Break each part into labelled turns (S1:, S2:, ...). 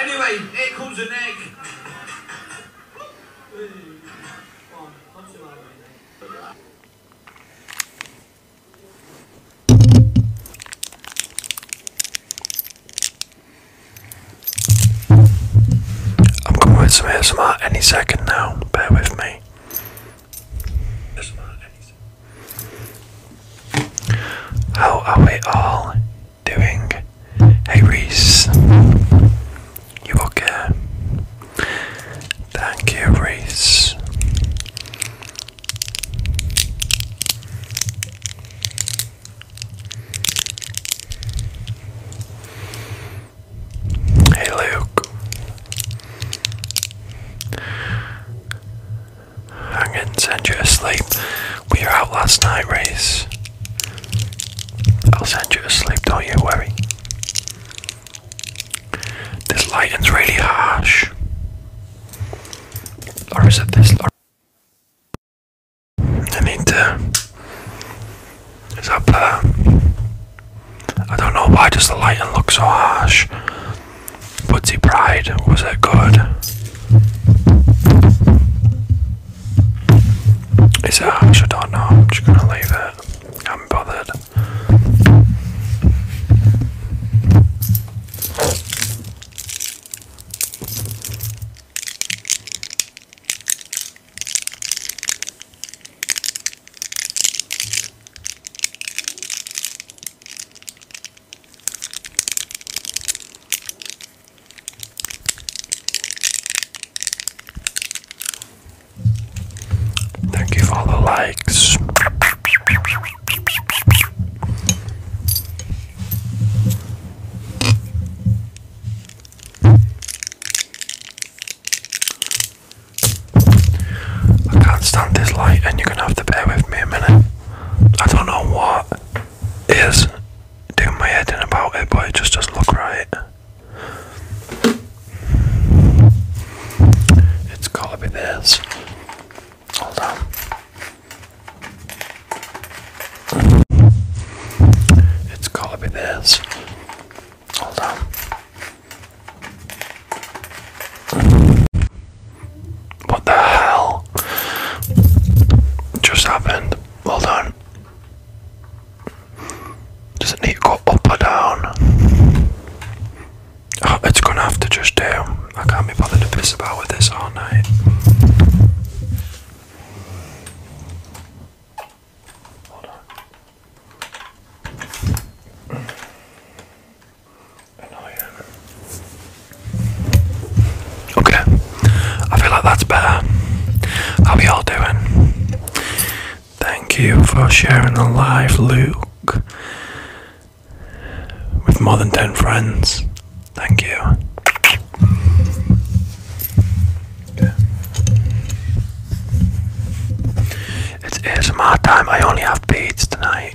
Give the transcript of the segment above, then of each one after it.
S1: Anyway, here comes the egg. I'm coming with some ASMR any second now, bear with me. How are we all doing? Hey Reese, you okay? Thank you, Reese. Hey Luke, I'm gonna send you asleep. We were out last night, Reese. I'll send you to sleep, don't you worry. This lighting's really harsh. Or is it this I need to. Is up there? Uh, I don't know why does the lighting look so harsh. Butsy Pride, was it good? Is it ash? I don't know. I'm just gonna leave it. I'm bothered. Thank you for all the likes. I can't stand this light, and you're gonna have to bear with me a minute. I don't know what is do my head in about it, but it just doesn't look right. It's gotta be this. Hold on. It's gotta be this. Hold on. What the hell just happened? Hold on. Does it need to go up or down? Oh, it's gonna have to just do. I can't be bothered to piss about with this all night. Hold on. Okay. I feel like that's better. How are y'all doing? Thank you for sharing the live, Luke, with more than 10 friends. Thank you. Okay. It's my time. I only have beads tonight.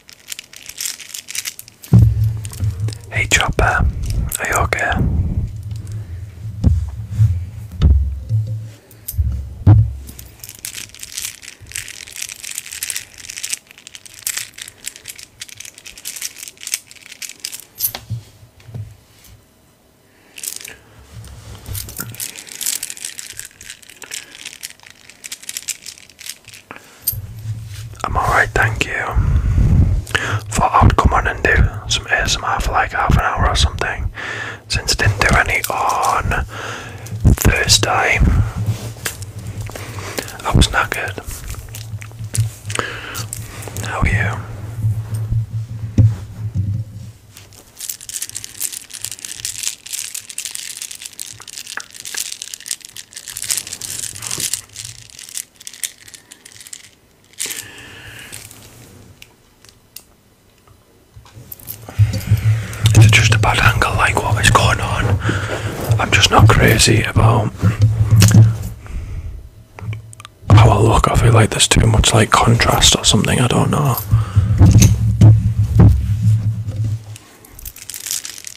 S1: Hey Chopper, are you okay? I'm alright, thank you. Thought I would come on and do some ASMR for like half an hour or something. Since I didn't do any on Thursday, I was not good. How are you? Is it just a bad angle like what is going on? I'm just not crazy about how I look. I feel like there's too much like contrast or something, I don't know.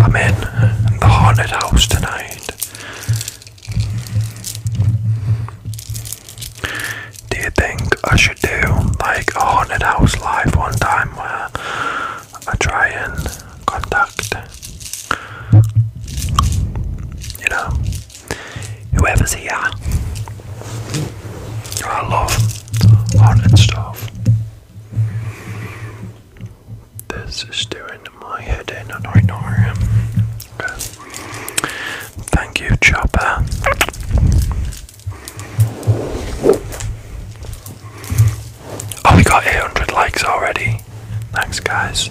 S1: I'm in the haunted house tonight. Do you think I should do like a haunted house live one time where I try and conduct? you know, whoever's here? I love haunted stuff. This is doing my head in, I don't know. Okay. Thank you, Chopper. Oh, we got 800 likes already. Thanks, guys.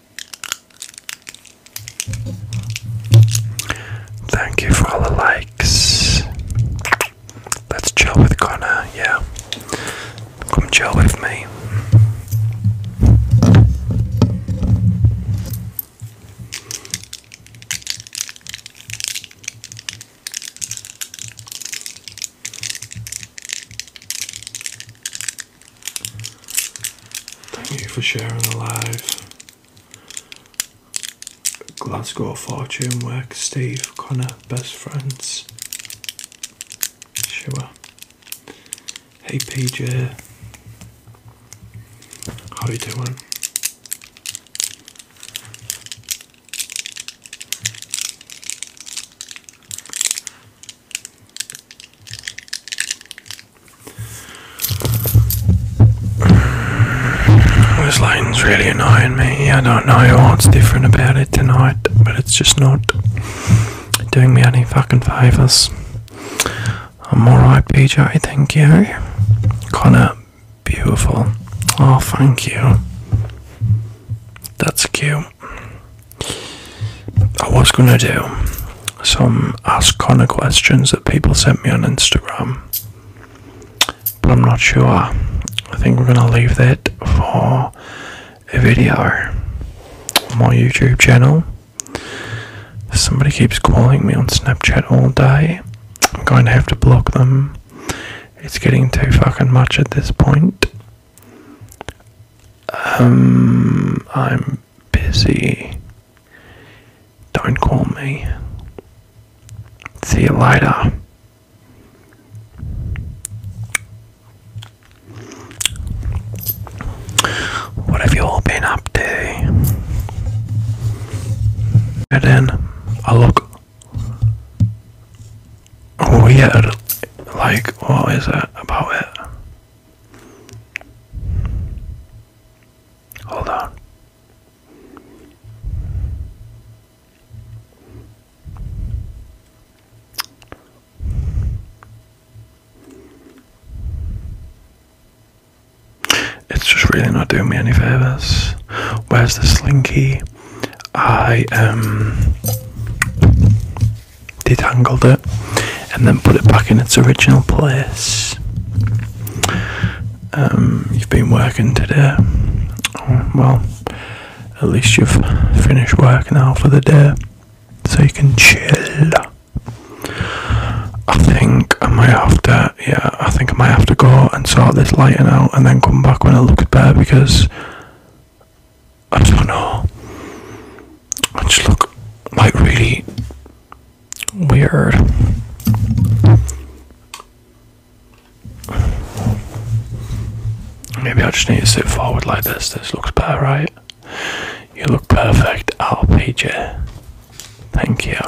S1: Thank you for all the likes. Let's chill with Connor, yeah. Come chill with me. Thank you for sharing the live. Glasgow Fortune Works. Steve, Connor, best friends. Shua. Hey PJ. How you doing? This lighting's really annoying me. I don't know what's different about it tonight, but it's just not doing me any fucking favours. I'm alright, PJ, thank you. Connor, beautiful. Oh, thank you. That's cute. I was gonna do some Ask Connor questions that people sent me on Instagram, but I'm not sure. I think we're going to leave that for a video on my YouTube channel. Somebody keeps calling me on Snapchat all day. I'm going to have to block them. It's getting too fucking much at this point. Um, I'm busy. Don't call me. See you later. What have you all been up to? And then I look weird. Like, what is that about it? Hold on. It's just really not doing me any favors. Where's the slinky? I um detangled it and then put it back in its original place. Um, you've been working today. Well, at least you've finished working now for the day, so you can chill. I think I might have to, yeah, I think I might have to go and sort this lighting out and then come back when it looks better because I don't know. just look like really Weird. Maybe I just need to sit forward like this. This looks better, right? You look perfect, RPJ. Thank you.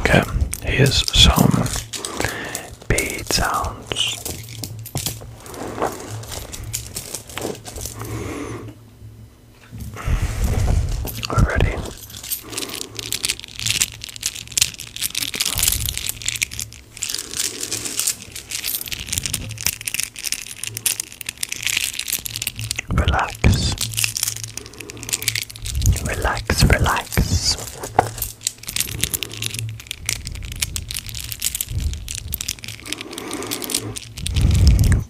S1: Okay, here's some bead sounds already. Relax, relax, relax.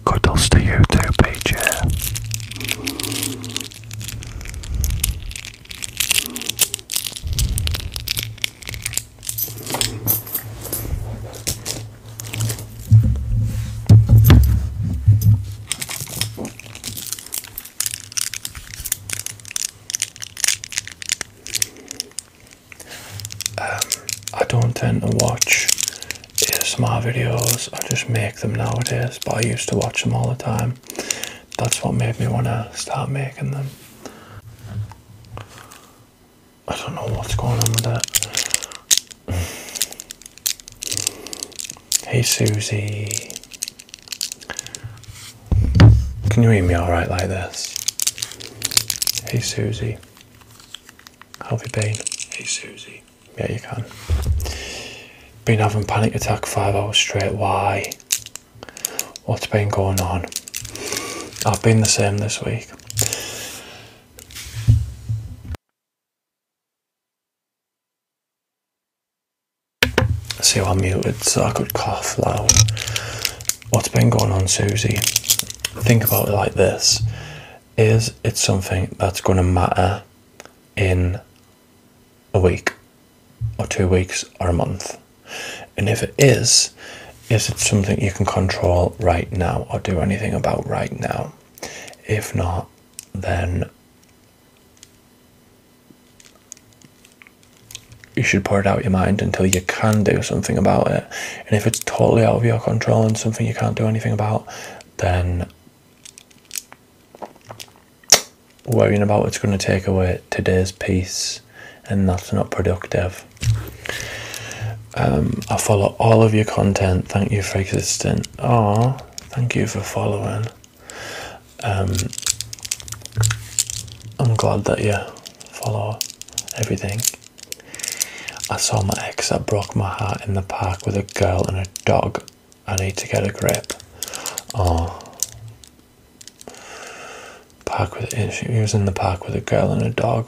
S1: Cuddles to you too, PJ. Um, I don't tend to watch ASMR videos, I just make them nowadays, but I used to watch them all the time. That's what made me want to start making them. I don't know what's going on with that. Hey Susie. Can you hear me alright like this? Hey Susie. How have you been? Hey Susie. Yeah, you can. Been having panic attack five hours straight. Why? What's been going on? I've been the same this week. See, I'm muted so I could cough loud what's been going on, Susie? Think about it like this: is it something that's going to matter in a week, or two weeks, or a month? And if it is, is it something you can control right now or do anything about right now? If not, then you should pour it out your mind until you can do something about it. And if it's totally out of your control and something you can't do anything about, then worrying about it's going to take away today's peace, and that's not productive. Um, I follow all of your content. Thank you for existing. Oh, thank you for following. Um, I'm glad that you follow everything. I saw my ex that broke my heart in the park with a girl and a dog. I need to get a grip. Oh. Park with he was in the park with a girl and a dog.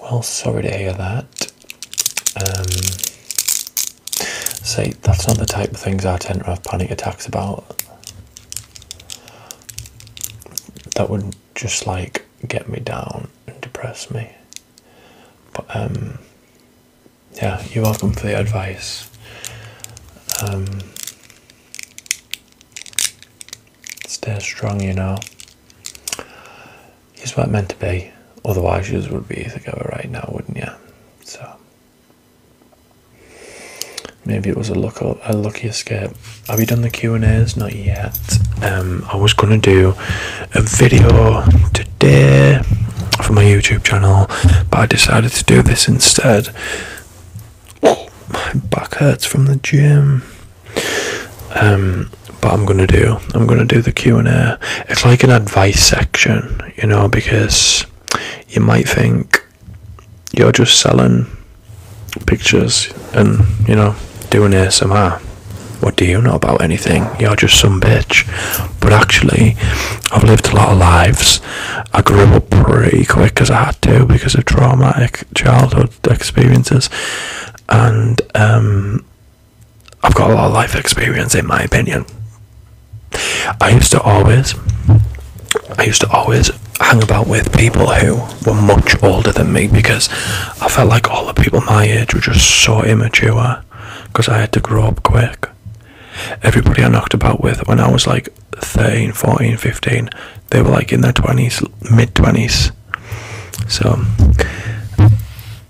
S1: Well, sorry to hear that. Um, see, that's not the type of things I tend to have panic attacks about. That would just like get me down and depress me. But um, yeah, you're welcome for the advice. Um, stay strong, you know. You weren't meant to be. Otherwise, you would be together right now, wouldn't you? So, Maybe it was a luck a lucky escape. Have you done the Q and A's? Not yet. Um, I was gonna do a video today for my YouTube channel, but I decided to do this instead. My back hurts from the gym. Um, but I'm gonna do. I'm gonna do the Q and A. It's like an advice section, you know, because you might think you're just selling pictures and, you know, doing ASMR. What do you know about anything? You're just some bitch. But actually, I've lived a lot of lives. I grew up pretty quick because I had to because of traumatic childhood experiences. And um, I've got a lot of life experience, in my opinion. I used to always, I used to always hang about with people who were much older than me because I felt like all the people my age were just so immature because I had to grow up quick. Everybody I knocked about with when I was like 13, 14, 15, they were like in their 20s, mid 20s. So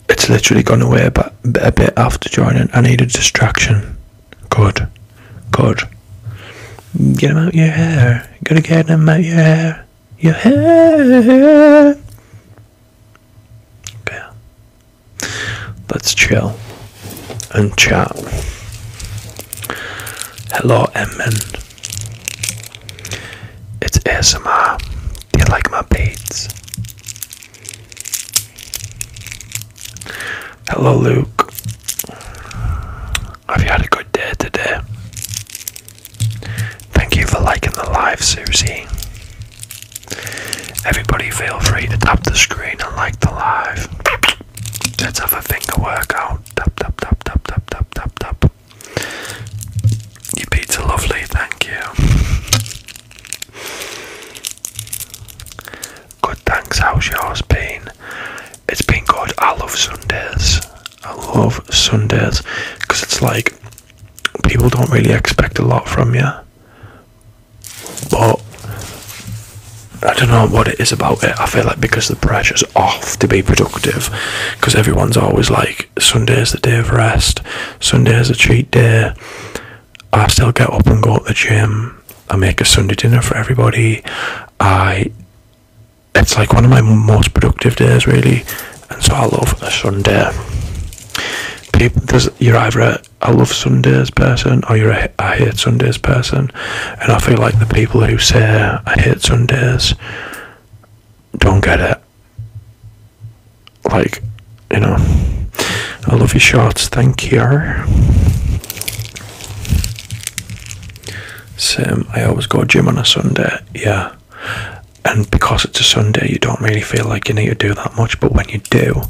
S1: it's literally gone away but a bit after joining. I needed distraction. Good. Good. Get them out your hair. Gotta get them out your hair. Yeah. Okay. Let's chill and chat. Hello, Edmund. It's ASMR. Do you like my beads? Hello, Luke. Have you had a good day today? Thank you for liking the live, Susie. Everybody, feel free to tap the screen and like the live. Let's have a finger workout. Tap, tap, tap, tap, tap, tap, tap, tap. You pizza lovely, thank you. Good, thanks. How's yours been? It's been good. I love Sundays. I love Sundays because it's like people don't really expect a lot from you, but I don't know what it is about it. I feel like because the pressure's off to be productive, because everyone's always like, Sunday's the day of rest, Sunday's a cheat day. I still get up and go to the gym. I make a Sunday dinner for everybody. I it's like one of my most productive days really and so I love a Sunday people you're either a I love Sundays person or you're a I hate Sundays person and I feel like the people who say I hate Sundays don't get it like you know I love your shots, thank you same. I always go gym on a Sunday. Yeah. And because it's a Sunday, you don't really feel like you need to do that much. But when you do,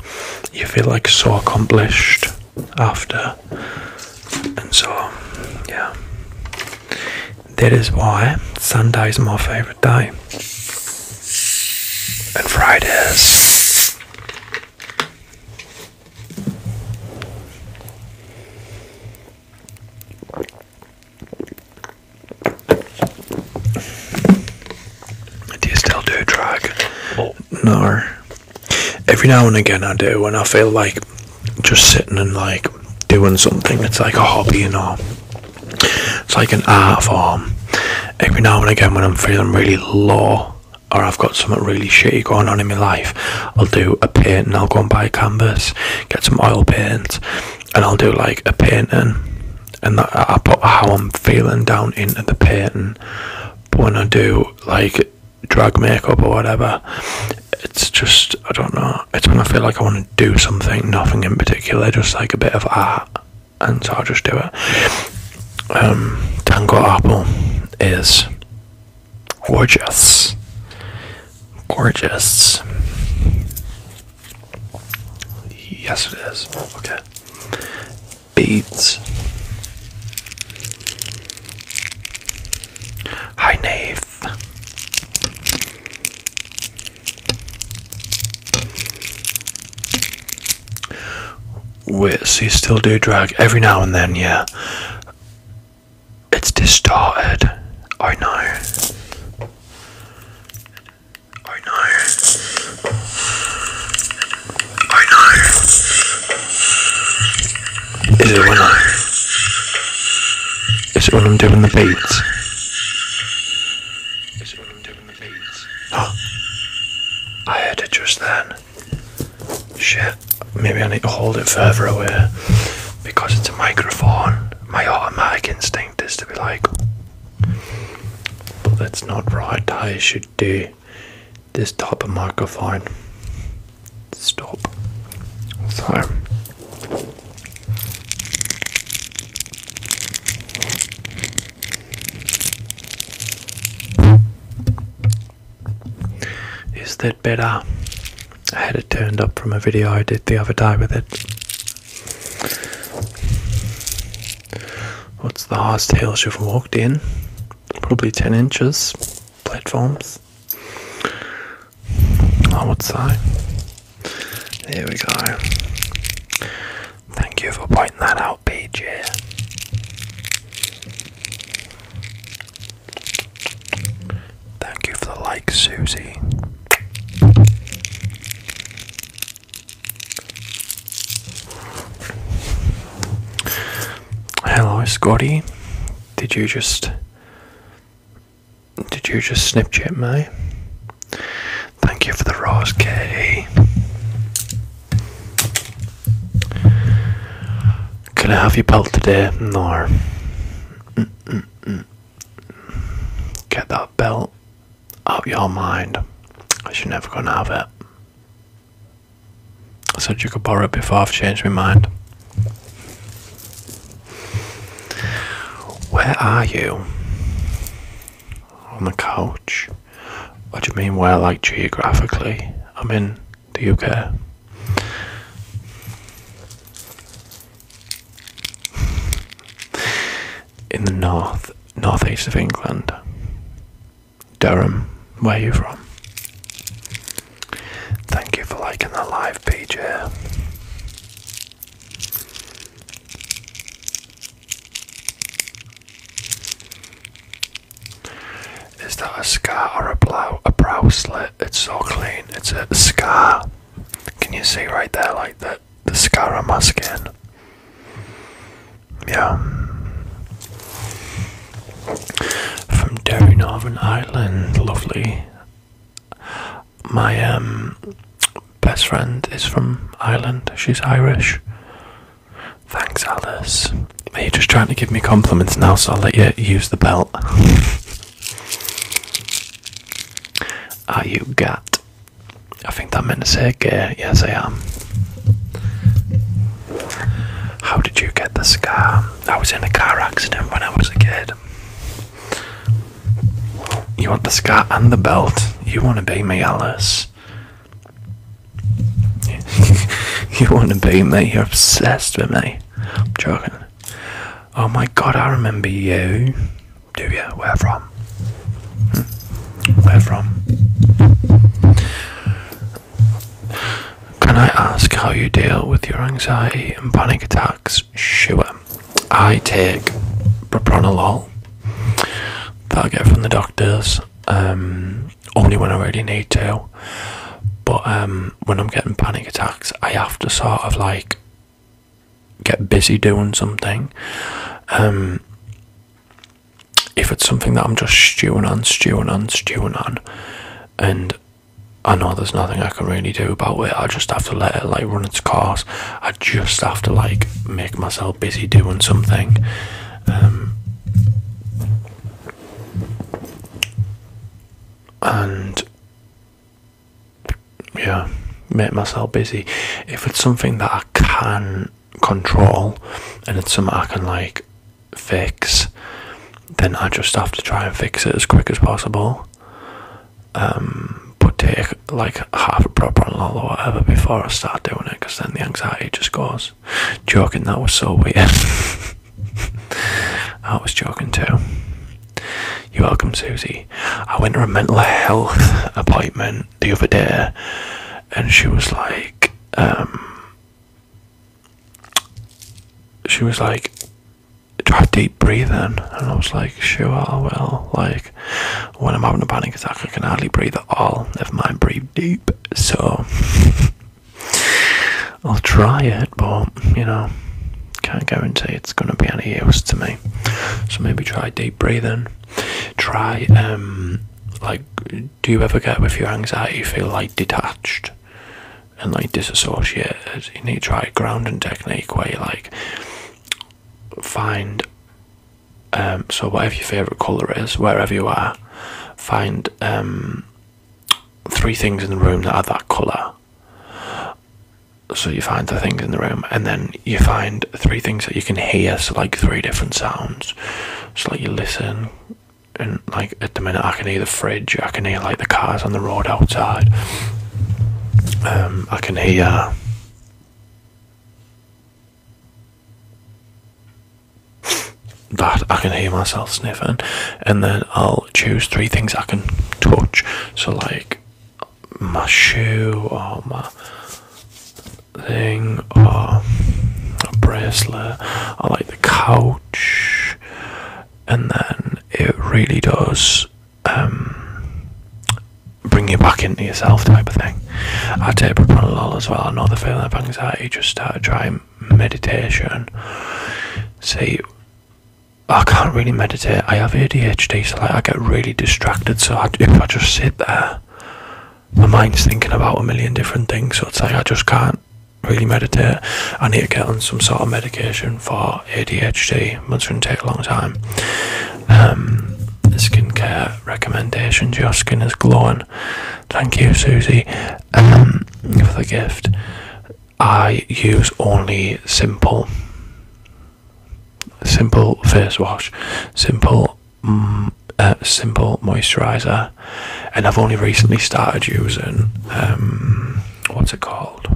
S1: you feel like so accomplished after. And so, yeah. That is why Sunday is my favourite day. And Fridays. Do you still do drugs? Oh. No. Every now and again I do when I feel like just sitting and like doing something. It's like a hobby, you know. It's like an art form. Every now and again when I'm feeling really low or I've got something really shitty going on in my life, I'll do a paint and I'll go and buy a canvas get some oil paint, and I'll do like a painting, and I put how I'm feeling down into the painting. But when I do like drag makeup or whatever, it's just I don't know. It's when I feel like I want to do something, nothing in particular, just like a bit of art, and so I'll just do it. Um, Tango Apple is gorgeous. Gorgeous. Yes, it is. Okay. Beads. Hi, Nave. Wait, so you still do drag every now and then, yeah? It's distorted. I know. I know. I know. Is it I when I? Is it when I'm doing the beats? Is it when I'm doing the beats? Oh, I heard it just then. Shit. Maybe I need to hold it further away because it's a microphone my automatic instinct is to be like, but that's not right. I should do this type of microphone. Stop. So. Is that better? I had it turned up from a video I did the other day with it. What's the highest you've walked in? Probably 10 inches. Platforms. I would say. There we go. Thank you for pointing that out, PJ. Thank you for the like, Susie. Hello, Scotty. Did you just did you just Snapchat me? Thank you for the rose, K. Can I have your pelt today? No. Mm, mm, mm. Get that belt out your mind. i She's never gonna have it. I said you could borrow it before I've changed my mind. Where are you? On the couch? What do you mean where like geographically? I'm in the UK. in the north, northeast of England, Durham, where are you from? Thank you for liking the live, PJ. Is that a scar or a brow, a brow slit? It's so clean. It's a scar. Can you see right there, like the, the scar on my skin? Yeah. From Derry, Northern Ireland, lovely. My um best friend is from Ireland. She's Irish. Thanks, Alice. Are you just trying to give me compliments now, so I'll let you use the belt. Are you got? I think that meant to say gay. Yes, I am. How did you get the scar? I was in a car accident when I was a kid. You want the scar and the belt? You want to be me, Alice. you want to be me? You're obsessed with me. I'm joking. Oh my god, I remember you. Do you? Where from? Hmm? Where from? Can I ask how you deal with your anxiety and panic attacks? Sure. I take propranolol that I get from the doctors um, only when I really need to. But um, when I'm getting panic attacks, I have to sort of like get busy doing something. Um, if it's something that I'm just stewing on, stewing on, stewing on, and I know there's nothing I can really do about it, I just have to let it like run its course. I just have to like make myself busy doing something. Um, and yeah, make myself busy. If it's something that I can control and it's something I can like fix, then I just have to try and fix it as quick as possible. Um, but take like half a propanol or whatever before I start doing it, because then the anxiety just goes. Joking, that was so weird. I was joking too. You're welcome, Susie. I went to a mental health appointment the other day, and she was like, um, she was like, do I have deep breathing? And I was like, sure, well, Like, when I'm having a panic attack, I can hardly breathe at all. if I'm breathe deep. So, I'll try it, but, you know, can't guarantee it's going to be any use to me. So maybe try deep breathing. Try, um, like, do you ever get with your anxiety feel like detached and like disassociated? You need to try a grounding technique where you like find, um, so whatever your favorite color is, wherever you are, find, um, three things in the room that are that color so you find the things in the room, and then you find three things that you can hear, so like three different sounds. So like you listen, and like at the minute I can hear the fridge, I can hear like the cars on the road outside. Um, I can hear. that I can hear myself sniffing, and then I'll choose three things I can touch. So, like, my shoe or my thing or a bracelet. I like the couch, and then it really does um, bring you back into yourself, type of thing. I take propranolol as well. Another know the feeling of anxiety. Just start trying meditation. See I can't really meditate. I have ADHD, so like I get really distracted. So if I just sit there, my mind's thinking about a million different things. So it's like I just can't really meditate. I need to get on some sort of medication for ADHD. That's going to take a long time. Um, skincare recommendations. Your skin is glowing. Thank you, Susie, um, for the gift. I use only simple simple face wash, simple mm, uh, simple moisturizer, and I've only recently started using um, what's it called?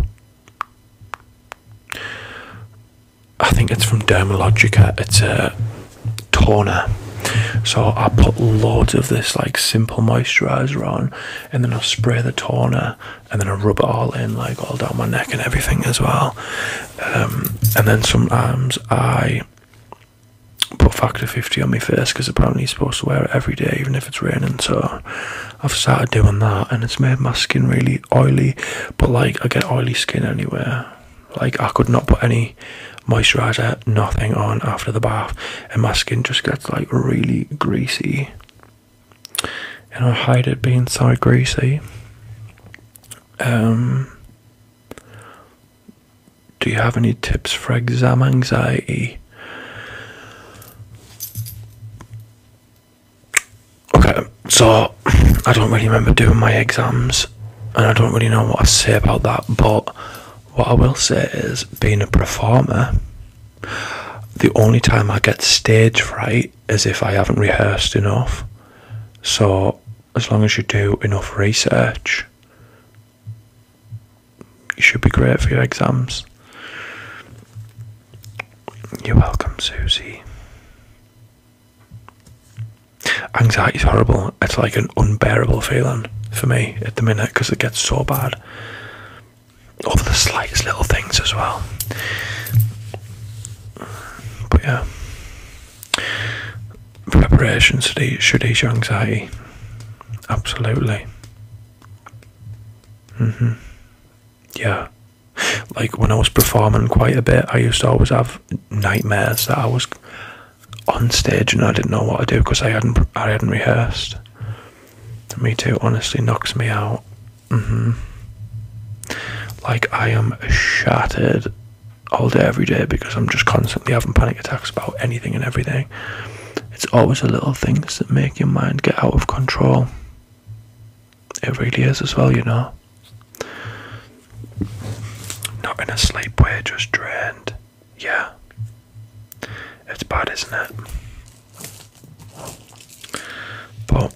S1: I think it's from Dermalogica. It's a toner. So I put loads of this like simple moisturizer on, and then I'll spray the toner and then I rub it all in, like all down my neck and everything as well. Um, and then sometimes I put factor 50 on my face because apparently you're supposed to wear it every day, even if it's raining. So I've started doing that, and it's made my skin really oily. But like, I get oily skin anywhere. Like, I could not put any moisturizer, nothing on after the bath, and my skin just gets like really greasy and I hate it being so greasy. Um, do you have any tips for exam anxiety? Okay, so I don't really remember doing my exams, and I don't really know what to say about that, but what I will say is being a performer, the only time I get stage fright as if I haven't rehearsed enough. So, as long as you do enough research, you should be great for your exams. You're welcome, Susie. Anxiety is horrible. It's like an unbearable feeling for me at the minute because it gets so bad over the slightest little things as well. But yeah, preparation should ease your anxiety. Absolutely. hmm Yeah. Like when I was performing quite a bit, I used to always have nightmares that I was on stage and I didn't know what to do because I hadn't I hadn't rehearsed. Me too. Honestly, knocks me out. Mm-hmm. Like I am shattered all day every day because I'm just constantly having panic attacks about anything and everything. It's always the little things that make your mind get out of control. It really is as well, you know. Not in a sleep way, just drained. Yeah. It's bad, isn't it? But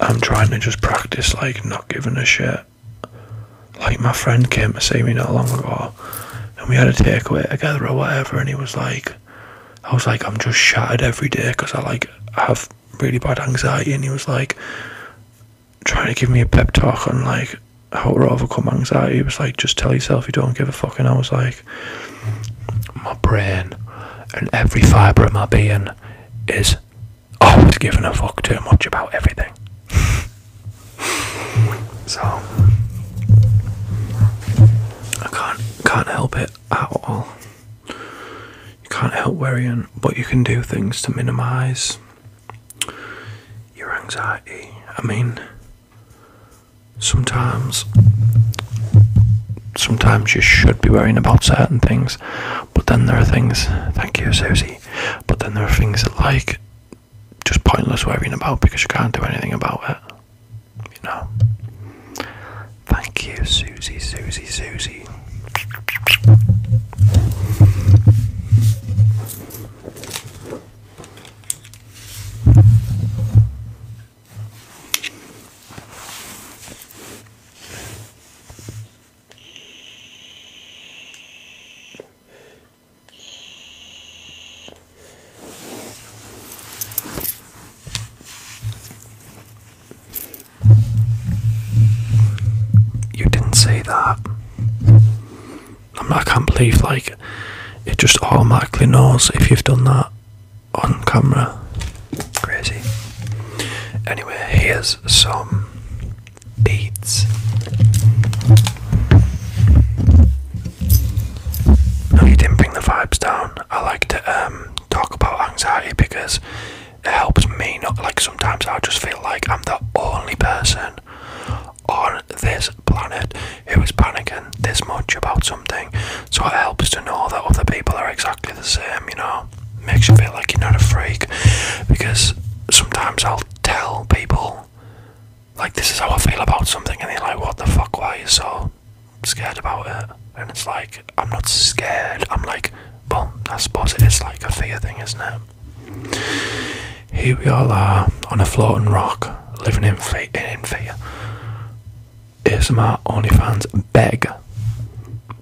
S1: I'm trying to just practice like not giving a shit. Like my friend came to see me not long ago and we had a takeaway together or whatever and he was like I was like I'm just shattered every day because I like have really bad anxiety and he was like trying to give me a pep talk on like how to overcome anxiety. He was like just tell yourself you don't give a fuck and I was like my brain and every fibre of my being is I was giving a fuck too much about everything. so I can't can't help it at all. You can't help worrying, but you can do things to minimize your anxiety. I mean sometimes sometimes you should be worrying about certain things but then there are things, thank you, Susie, but then there are things that, like, just pointless worrying about because you can't do anything about it. You know? Thank you, Susie, Susie, Susie. You didn't say that. I'm, I can not believe like it just automatically knows if you've done that on camera. Crazy. Anyway, here's some beads. No, you didn't bring the vibes down. I like to um, talk about anxiety because it helps me not like sometimes I just feel like I'm the only person on this planet who is panicking this much about something. So it helps to know that other people are exactly the same, you know makes you feel like you're not a freak because sometimes I'll tell people like this is how I feel about something and they're like what the fuck why are you so scared about it and it's like I'm not scared I'm like well I suppose it is like a fear thing isn't it here we all are on a floating rock living in, fear. in fear ASMR OnlyFans beg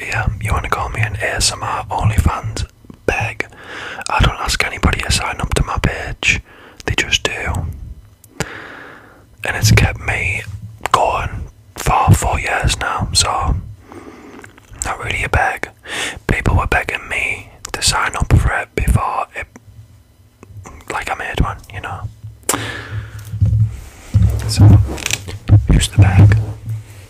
S1: Yeah, you want to call me an ASMR OnlyFans beg? I don't ask anybody to sign up to my page, they just do. And it's kept me going for four years now, so not really a beg. People were begging me to sign up for it before it, like I made one, you know. So, here's the bag.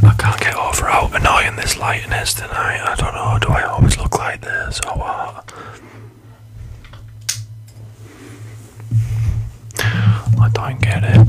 S1: I can't get over how annoying this lighting is tonight. I don't know, do I always look like this or I don't get it.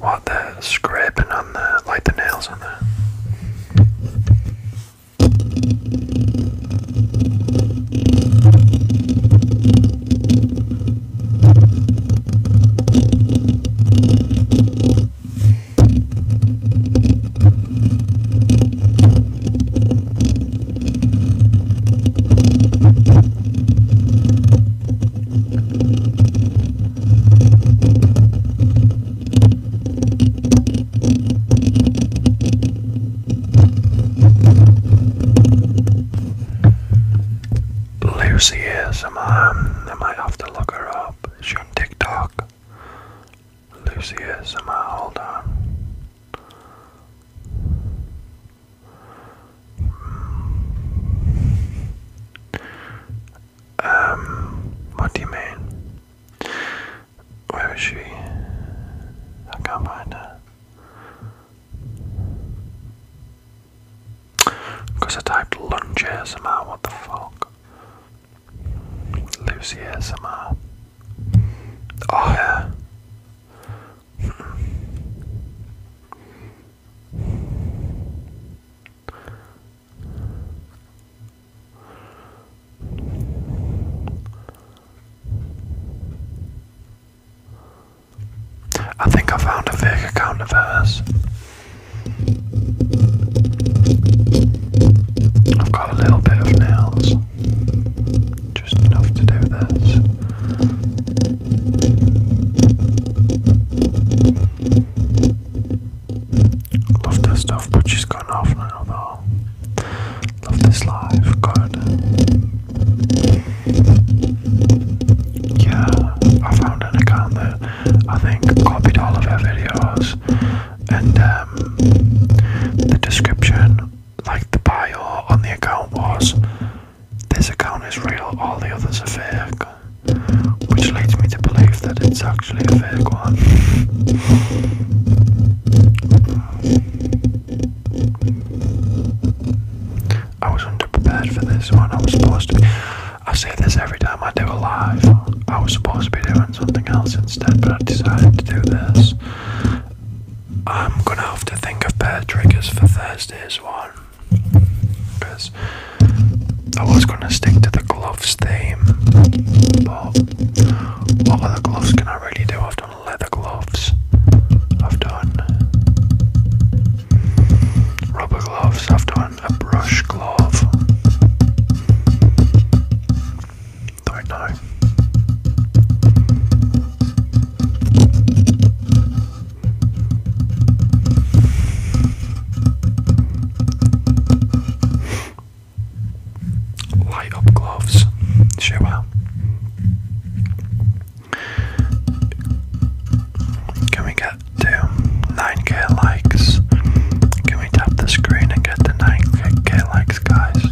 S1: What the scraping on the like the nails on there? Lucy is, Am I might have to look her up. She's on TikTok. Lucia somehow hold on. Um, what do you mean? Where is she? I can't find her. Because I typed lunch here somehow, what the fuck? Lucy ASMR. Oh yeah. I think I found a fake account of hers. I've got a little bit of nails. Just enough to do this. Love this stuff, but she's gone off now though. Love this live, good. Yeah, I found an account that I think copied all of her videos and um, the description, like the bio on the account was, this account is real, all the others are fake, which leads me to believe that it's actually a fake one. I was underprepared for this one. I was supposed to I say this every time I do a live. I was supposed to be doing something else instead, but I decided to do this. I'm gonna have to think of better triggers for Thursday's one because I was gonna stick to the gloves theme, but what other gloves can I really do? I've done leather gloves, I've done rubber gloves, I've done a brush glove don't know. Light up gloves, sure. Can we get to 9k likes? Can we tap the screen and get the 9k likes, guys?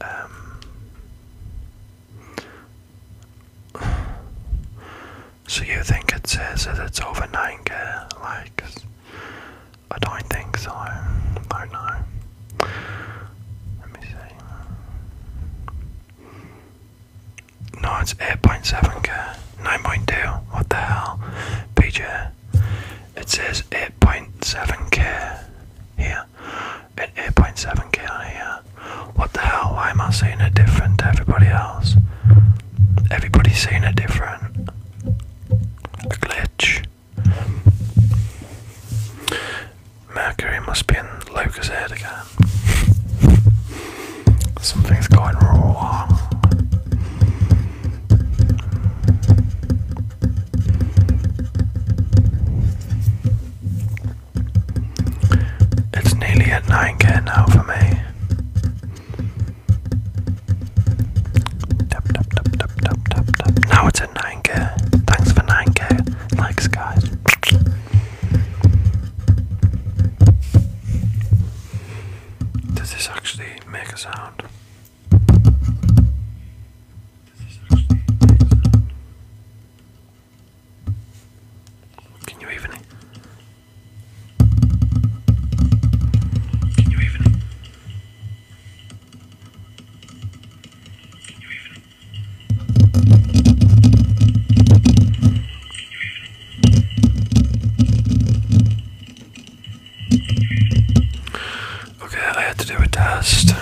S1: Um, so you think it says that it's over 9k likes? I don't think so. Don't know. Let me see. No, it's 8.7k. 9.2. What the hell? PJ. It says 8.7k here. At 8.7k on here. What the hell? Why am I seeing it different to everybody else? Everybody's seeing it different. A glitch. Mercury must be in Lucas' head again. Something's going wrong. It's nearly at 9k now for me. Tap, tap, tap, tap, tap, tap, tap. Now it's at 9k. Thanks for 9k. Likes, guys. Does this actually make a sound? Can you even? Can you even? Can you even? Okay, I had to do a test.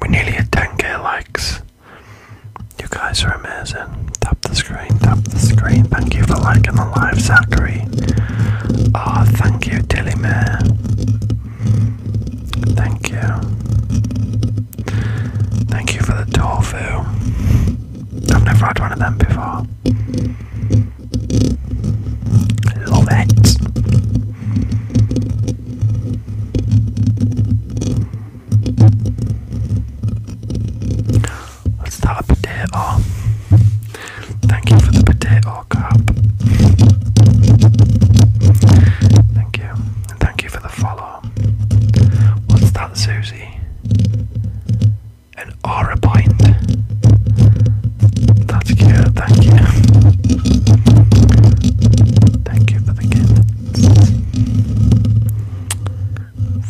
S1: we nearly had 10k likes. You guys are amazing. Tap the screen, tap the screen. Thank you for liking the live, Zachary. Ah, thank you, Tilly Man. Thank you. Thank you for the tofu. I've never had one of them before. Love it. What's that, potato? Thank you for the potato cap. Thank you. thank you for the follow. What's that, Susie? And an a point. That's good, thank you. Thank you for the gift.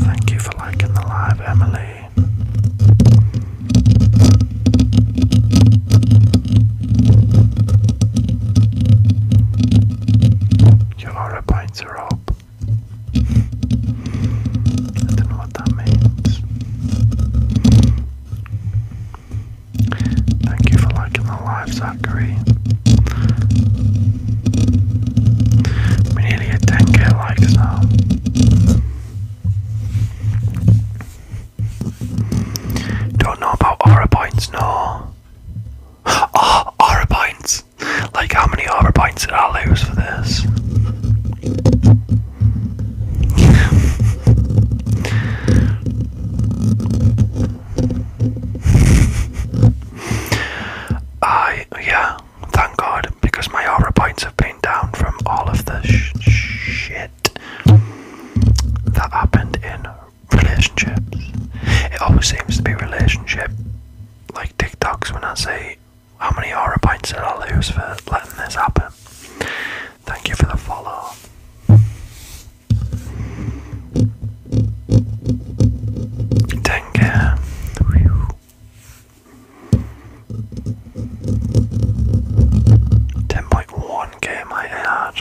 S1: Thank you for liking the live, Emily. Your aura points are I don't know what that means. Thank you for liking the live, Zachary. We nearly at 10k likes now. Don't know about aura points, no. Oh, aura points! Like, how many Arbor points did I lose for this? I, yeah, thank God, because my aura points have been down from all of the shit that happened in relationships. It always seems to be relationship, like TikToks when I say. How many horror points did I lose for letting this happen? Thank you for the follow. Thank you. Ten point one game I had.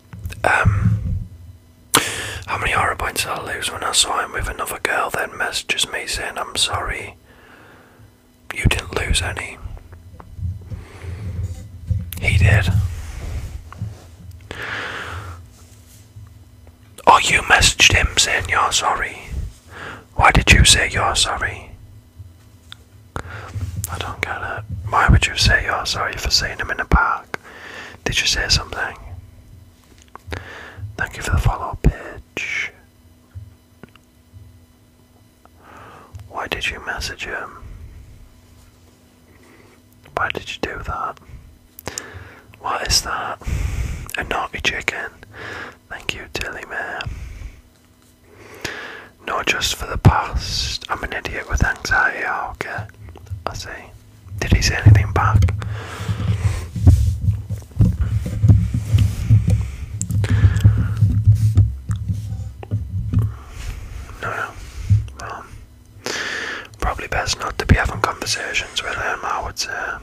S1: Um, how many horror points did I lose when I saw him with another girl? Then messages me saying, "I'm sorry, you didn't lose any." He did. Oh, you messaged him saying you're sorry. Why did you say you're sorry? I don't get it. Why would you say you're sorry for seeing him in the park? Did you say something? Thank you for the follow up pitch. Why did you message him? Why did you do that? What is that? A naughty chicken. Thank you, Tilly man. Not just for the past. I'm an idiot with anxiety. okay. I see. Did he say anything back? No, Well, probably best not to be having conversations with him, I would say.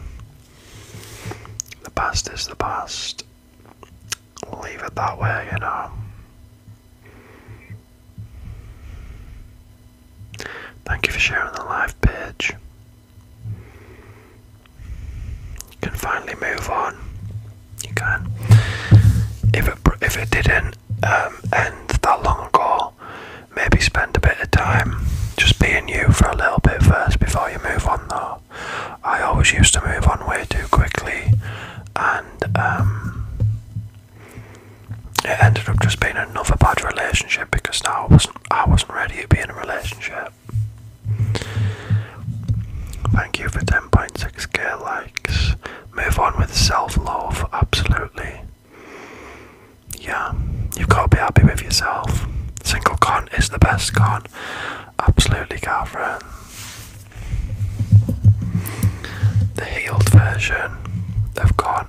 S1: The past is the past. leave it that way, you know. Thank you for sharing the live page. You can finally move on. You can. If it if it didn't um, end that long ago, maybe spend a bit of time just being you for a little bit first before you move on. Though I always used to move on way too quickly, and um, it ended up just being another bad relationship because now I wasn't I wasn't ready to be in a relationship. Thank you for 10.6k likes. Move on with self love, absolutely. Yeah, you've got to be happy with yourself. Single con is the best con. Absolutely, Catherine. The healed version of con.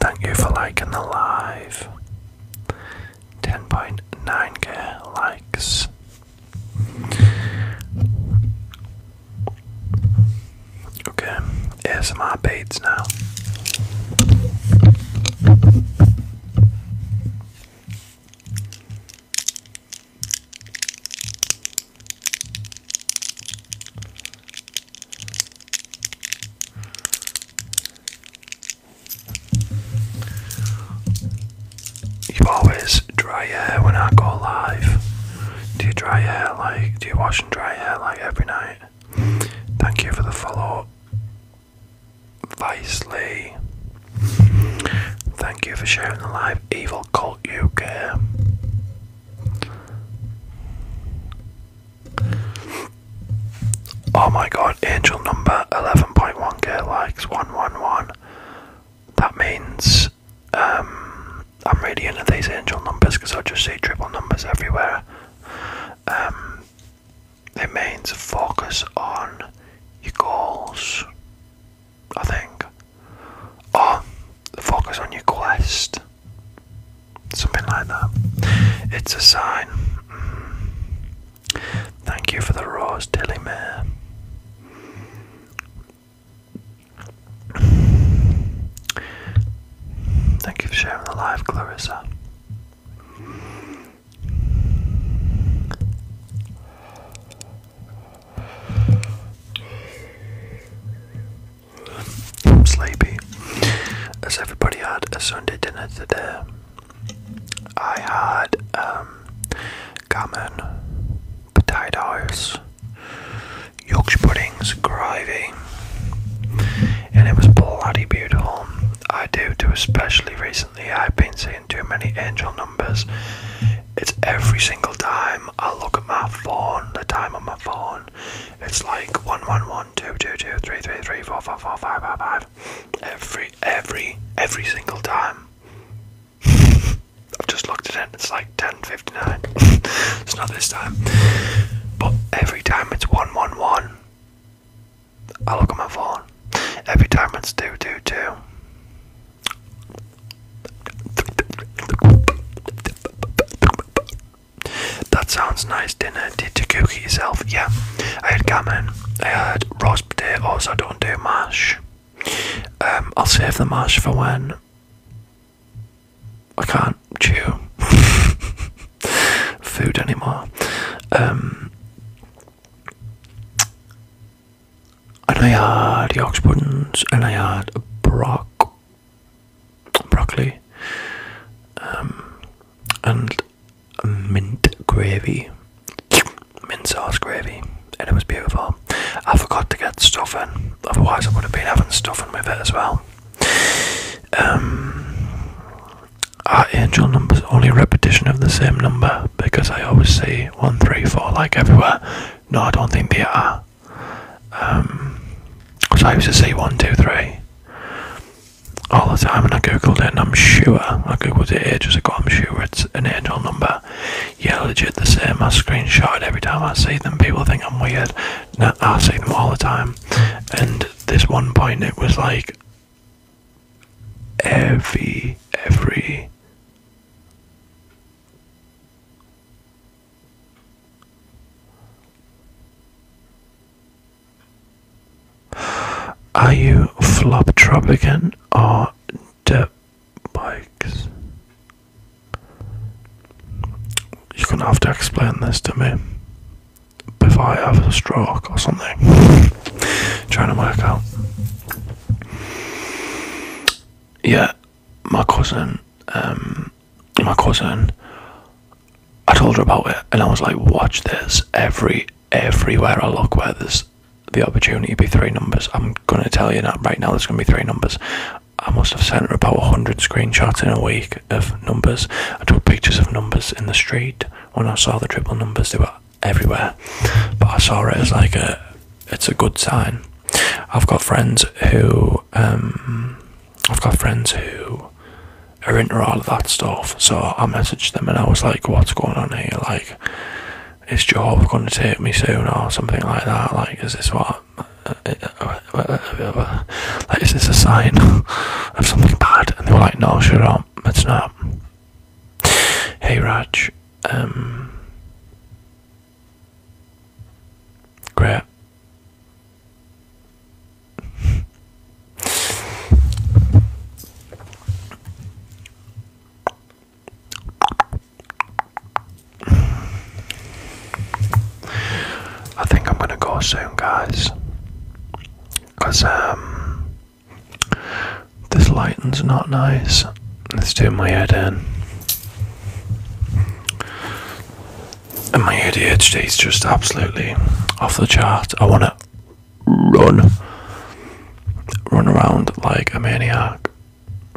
S1: Thank you for liking the live. 10.9k likes. Okay, here's my beads now. You always dry your hair when I go live. Do you dry hair like, do you wash and dry your hair like every night? Thank you for the follow. Vice Lee. Thank you for sharing the live Evil Cult UK. Oh my god, angel number 11.1k likes 111. That means um, I'm really into these angel numbers because I just see triple numbers everywhere. Um, it means focus on your goals I think. Or focus on your quest. Something like that. It's a sign. Mm. Thank you for the rose, Dilly Mare. Thank you for sharing the live, Clarissa. I'm sleepy. As everybody had a Sunday dinner today, I had um, gammon, potatoes, Yorkshire puddings, gravy, and it was bloody beautiful. I do, too, especially recently. I've been seeing too many angel numbers. It's every single time I look at my phone, the time on my phone, it's like one one one two two two three three three four four four five five five. Every every every single time. I've just looked at it, it's like 10.59. it's not this time. But every time it's 111, I look at my phone. Every time it's 222, that sounds nice, dinner. Did you cook yourself? Yeah. I had gammon. I had roast beef. Also, don't do mash. Um, I'll save the mash for when I can't chew food anymore. Um, and I had the Oxbuttons, and I had Brock, broccoli, um, and mint gravy, mint sauce gravy, and it was beautiful. I forgot to get stuffing, otherwise I would have been having stuffing with it as well. Um, angel numbers only repetition of the same number because I always say one, three, four like everywhere. No, I don't think they are. Um, because I used to see one, two, three all the time, and I googled it, and I'm sure I googled it ages ago. I'm sure it's an angel number. Yeah, legit the same. I screenshot every time I see them. People think I'm weird. No, I see them all the time. And this one point, it was like every every are you flop again or the bikes? You're gonna have to explain this to me before I have a stroke or something. Trying to work out. Yeah, my cousin, um, my cousin, I told her about it, and I was like, "Watch this! Every everywhere I look, where there's the opportunity to be three numbers, I'm gonna tell you that right now. There's gonna be three numbers." I must have sent her about 100 screenshots in a week of numbers. I took pictures of numbers in the street when I saw the triple numbers, they were everywhere. But I saw it as like a, it's a good sign. I've got friends who um, I've got friends who are into all of that stuff. So I messaged them and I was like, "What's going on here? Like, is job going to take me soon or something like that? Like, is this what?" Like, is this a sign of something bad? And they were like, no, shut it's not. Hey Raj, um, Crap. I think I'm gonna go soon, guys. Cause um, this lighting's not nice. Let's doing my head in. And my ADHD is just absolutely off the chart. I want to run, run around like a maniac.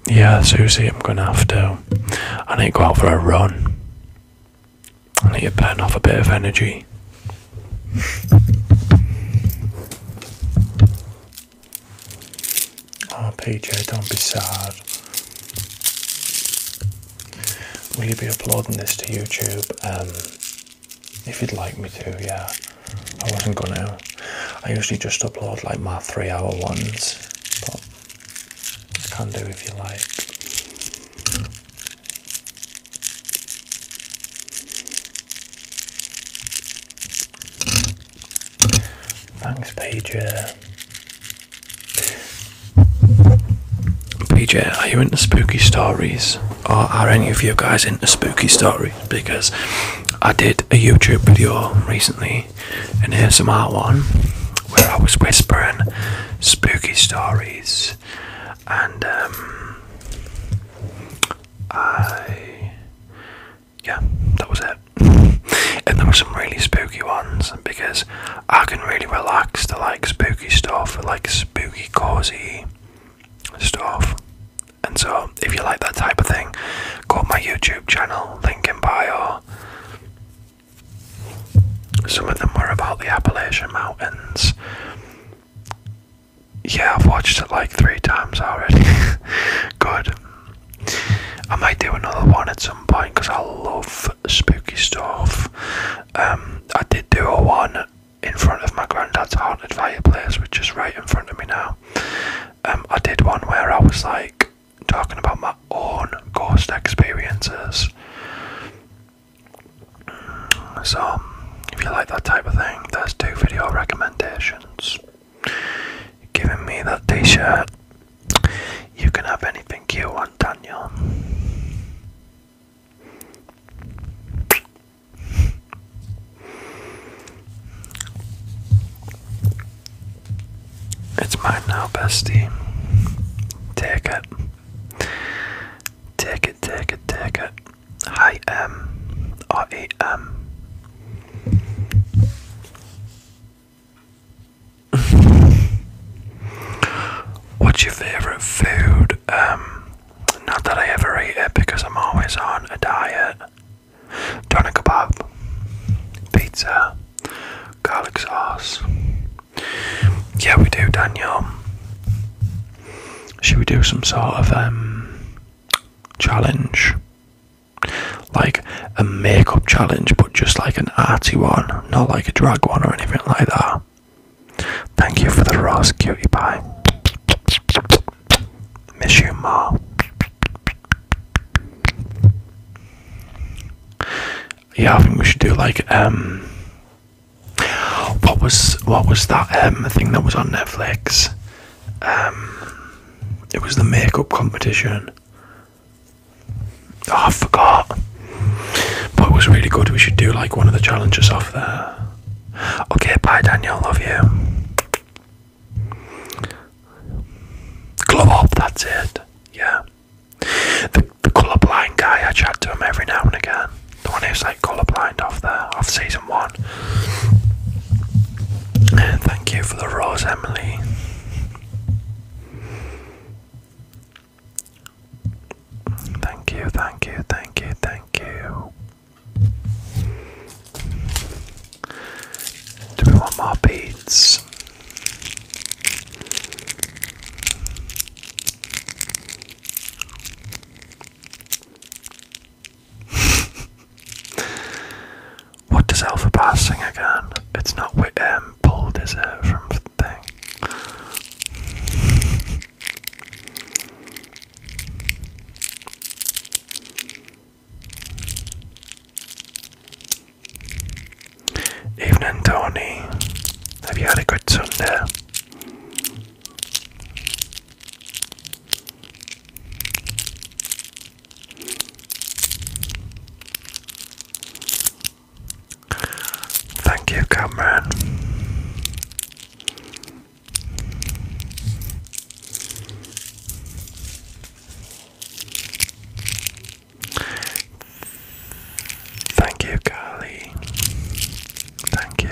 S1: Yeah, Susie, I'm gonna have to. I need to go out for a run. I need to burn off a bit of energy oh, PJ, don't be sad. Will you be uploading this to YouTube? Um, if you'd like me to, yeah. I wasn't gonna. I usually just upload like my three hour ones, but I can do if you like. Thanks, Pager. PJ, are you into spooky stories? Or are any of you guys into spooky stories? Because I did a YouTube video recently, an ASMR one, where I was whispering spooky stories, and um, I yeah, that was it. and there were some really spooky ones because I can really relax to like spooky stuff, like spooky, cozy stuff. And so, if you like that type of thing, go to my YouTube channel, link in bio. Some of them were about the Appalachian Mountains. Yeah, I've watched it like three times already. Good. I might do another one at some point because I love spooky stuff. Um, I did do a one in front of my granddad's haunted fireplace, which is right in front of me now. Um, I did one where I was like talking about my own ghost experiences. So, if you like that type of thing, there's two video recommendations giving me that t shirt. You can have anything you want, Daniel. It's mine now, bestie. Take it. Take it, take it, take it. I am. Or E M. What's your favourite food? Um, not that I ever eat it because I'm always on a diet. Doner kebab, pizza, garlic sauce. Yeah, we do, Daniel. Should we do some sort of um challenge? like a makeup challenge, but just like an arty one, not like a drag one or anything like that. Thank you for the rose, cutie pie. Miss you more. Yeah, I think we should do like um. What was what was that um thing that was on Netflix? Um, it was the makeup competition. Oh, I forgot. But it was really good. We should do like one of the challenges off there. Okay, bye, Daniel. Love you. Glove up. That's it. Yeah. The the colorblind guy. I chat to him every now and again. The one who's like colorblind off there, off season one. Thank you for the rose, Emily. Thank you, thank you, thank you, thank you. Do we want more beads? What does Alpha Bass sing again? It's not with um, pulled, is it, from thing? Evening, Tony. Have you had a good Sunday? Thank you, Cameron. Thank you, Carly. Thank you.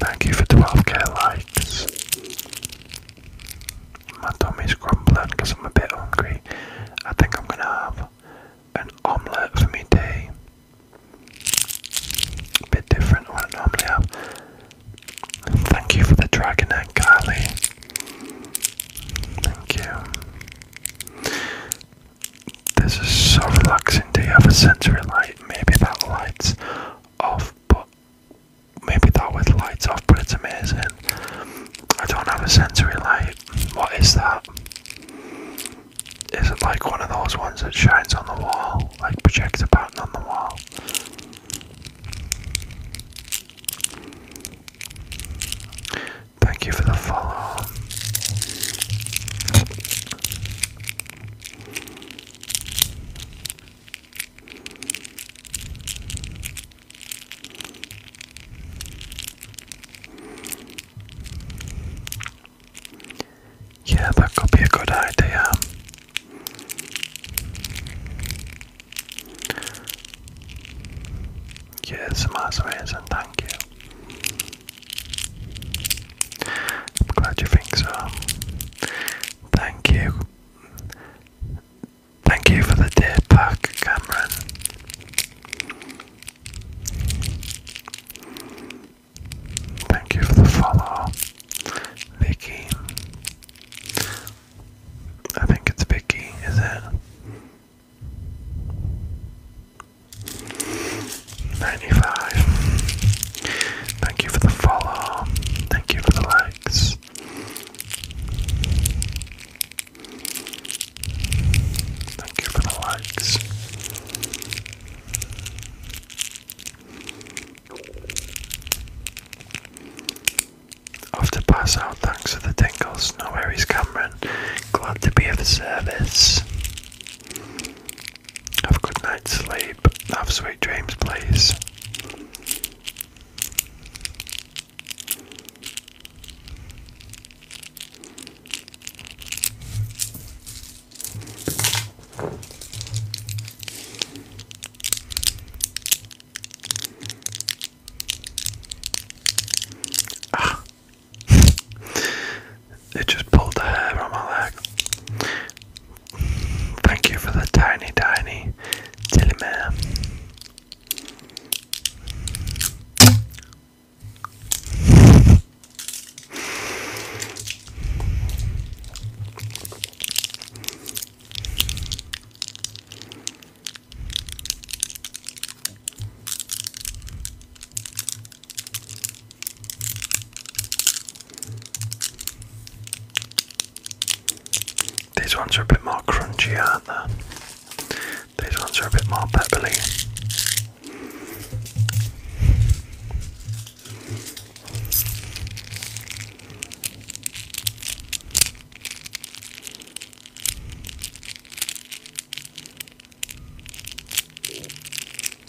S1: Thank you for 12k likes. My tummy's grumbling because I'm a bit hungry. I think I'm gonna have an omelette for me tea. bit different to what I normally have. Thank you for the dragon egg, Kylie. Thank you. This is so relaxing to have a sensory light. Maybe that light's off, but maybe that with lights off, but it's amazing. I don't have a sensory light. What is that? Is it like one of those ones that shines on the wall, like projects a pattern on the wall? Thank you for the follow. Yeah, that could be a good idea. Yes, my and thank you. I'm glad you think so. Thank you. Thank you for the day pack, Cameron. Thank you for the follow, Vicky. I think it's Vicky, is it? 95. Thank you for the follow. Thank you for the likes. Thank you for the likes. Off pass out, thanks for the tingles. No worries, Cameron. Glad to be of service. Have a good night's sleep. Have sweet dreams, please. Ah it just pulled the hair on my leg. Thank you for the tiny, tiny tilly mare. These ones are a bit more crunchy, aren't they? These ones are a bit more pebbly.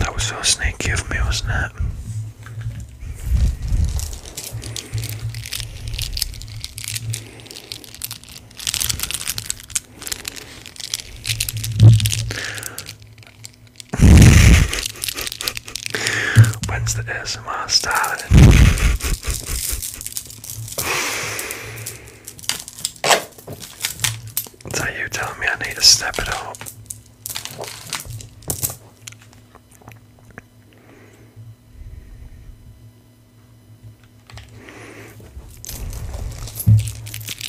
S1: That was so sneaky of me, wasn't it? When's the SMR started? Is you telling me I need to step it up?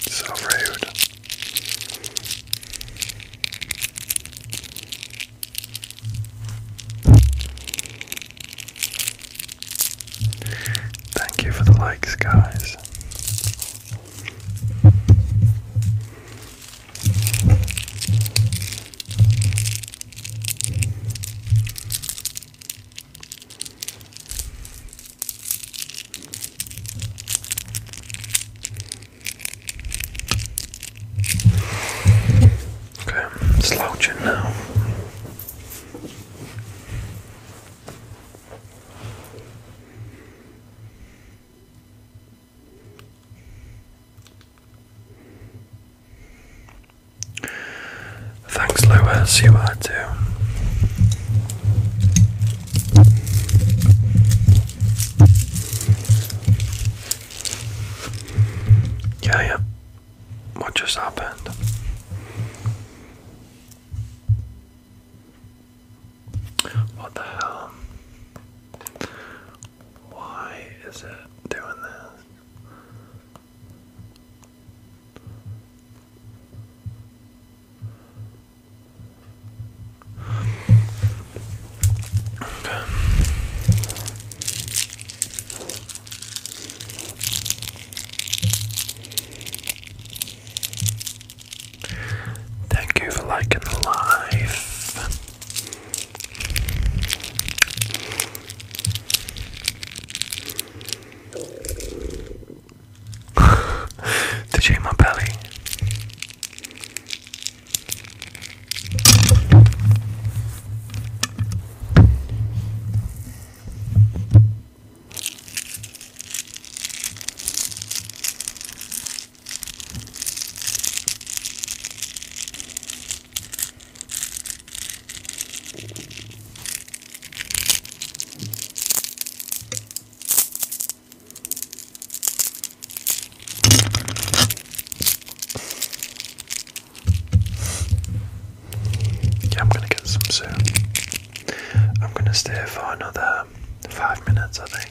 S1: So rude. Thank you for the likes, guys. Okay, slouching now. Thanks, Lewis, you are too. Yeah, yeah. What just happened? What the hell? Why is it doing this? Thank you for liking the live. to shake my belly. Yeah, I'm gonna get some soon. I'm gonna stay for another five minutes, I think,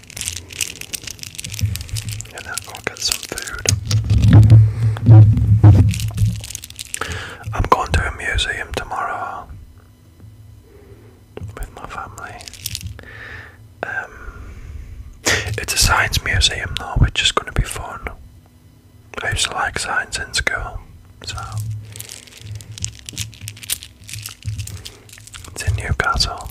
S1: and then i get some food. I'm going to a museum tomorrow with my family. Um, it's a science museum though, which is going to be fun. I used to like science in school, so it's in Newcastle.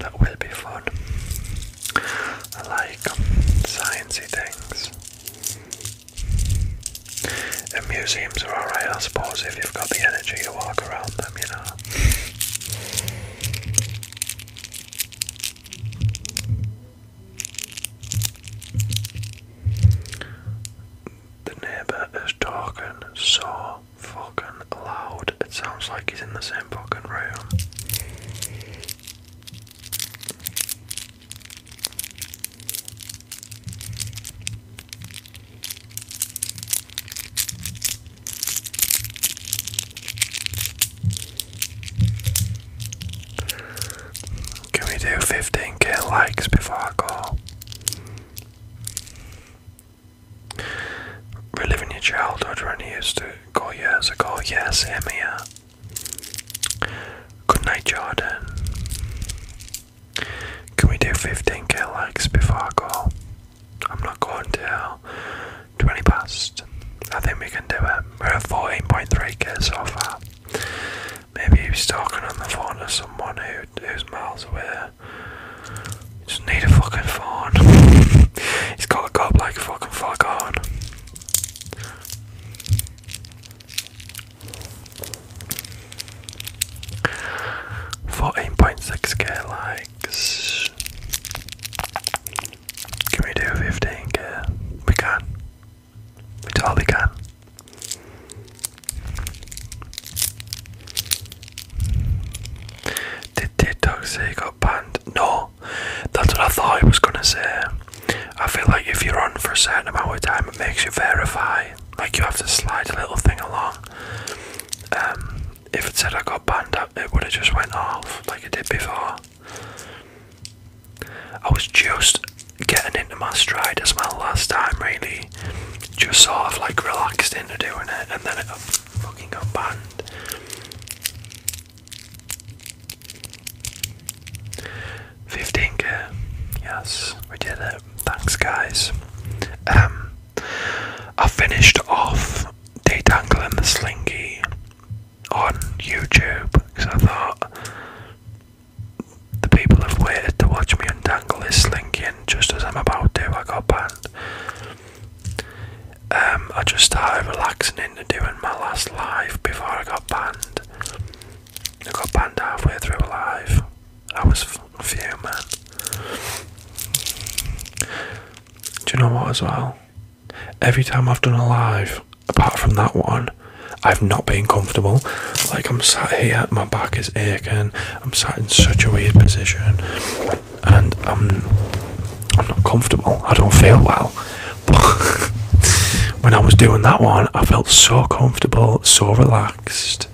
S1: That will be fun. I like um, sciencey things. And museums are alright, I suppose, if you've got the energy to walk around them, you know. The neighbour is talking so fucking loud. It sounds like he's in the same fucking room. Can we do 15k likes before I go? Reliving your childhood when He used to go years ago. Yes, Emia. Good night, Jordan. Can we do 15k likes before I go? I'm not going till 20 past. I think we can do it. We're at 14.3k so far. Maybe he was talking on the phone to someone who, who's miles away. Just need a fucking phone. He's got a godlike fucking fuck on. Fourteen point six K likes. Can we do fifteen K? We can. We totally can. Did TikTok say got banned? No, that's what I thought I was gonna say. I feel like if you're on for a certain amount of time, it makes you verify. Like you have to slide a little thing along. Um, if it said I got banned, it would have just went off like it did before. I was just getting into my stride as my last time, really just sort of like relaxed into doing it, and then it fucking got banned. Fifteen k, yes, we did it. Thanks, guys. Um, I finished off detangling the slinky on YouTube because I thought the people have waited to watch me untangle this slinky, and just as I'm about to, I got banned. Um, I just started relaxing into doing my last live before I got banned. I got banned halfway through a live. I was fuming. Do you know what, as well? Every time I've done a live, apart from that one, I've not been comfortable. Like, I'm sat here, my back is aching, I'm sat in such a weird position, and I'm not comfortable. I don't feel well. when I was doing that one, I felt so comfortable, so relaxed,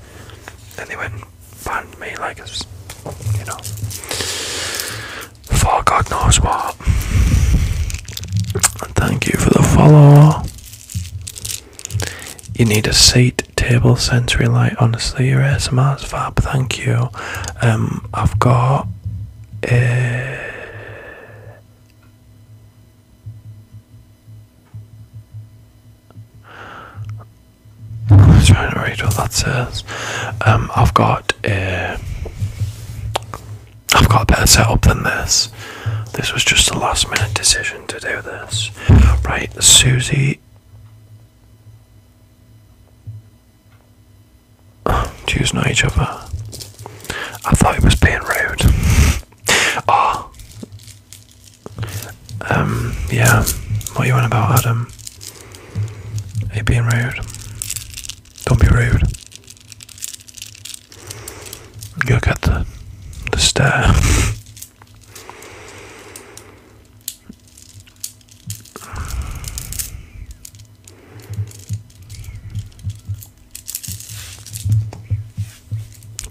S1: and they went and banned me like a, you know, for God knows what. And thank you for the follow. You need a seat table sensory light. Honestly, your ASMR's fab. Thank you. Um, I've got uh, trying to read what that says. Um, I've got a. Uh, I've got a better setup than this. This was just a last minute decision to do this. Right, Susie Wait. Jews know each other. I thought he was being rude. Ah. Um, yeah. What are you on about, Adam? Are being rude? Don't be rude. You'll get the, the stare.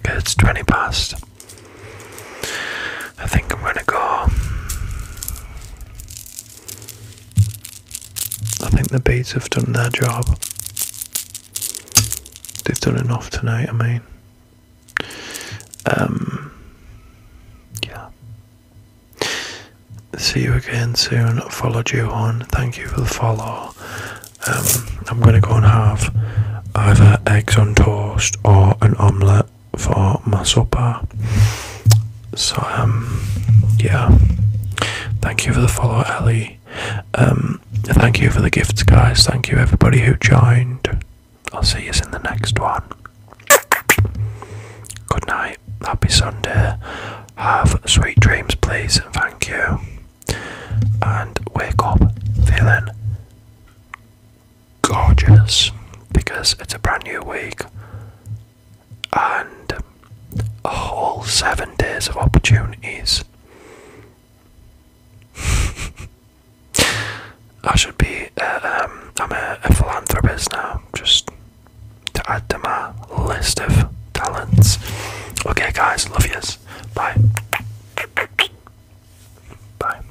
S1: It's 20 past. I think I'm going to go. I think the beats have done their job. They've done enough tonight, I mean. Um, yeah. See you again soon. Followed you on. Thank you for the follow. Um, I'm going to go and have either eggs on toast or an omelette for my supper. So, um, yeah. Thank you for the follow, Ellie. Um, thank you for the gifts, guys. Thank you, everybody who joined. I'll see you in the next one. Good night. Happy Sunday. Have sweet dreams, please. and Thank you. And wake up feeling gorgeous because it's a brand new week and a whole seven days of opportunities. I should be. Uh, um, I'm a, a philanthropist now, just to add to my list of talents. Okay, guys, love yous. Bye. Bye.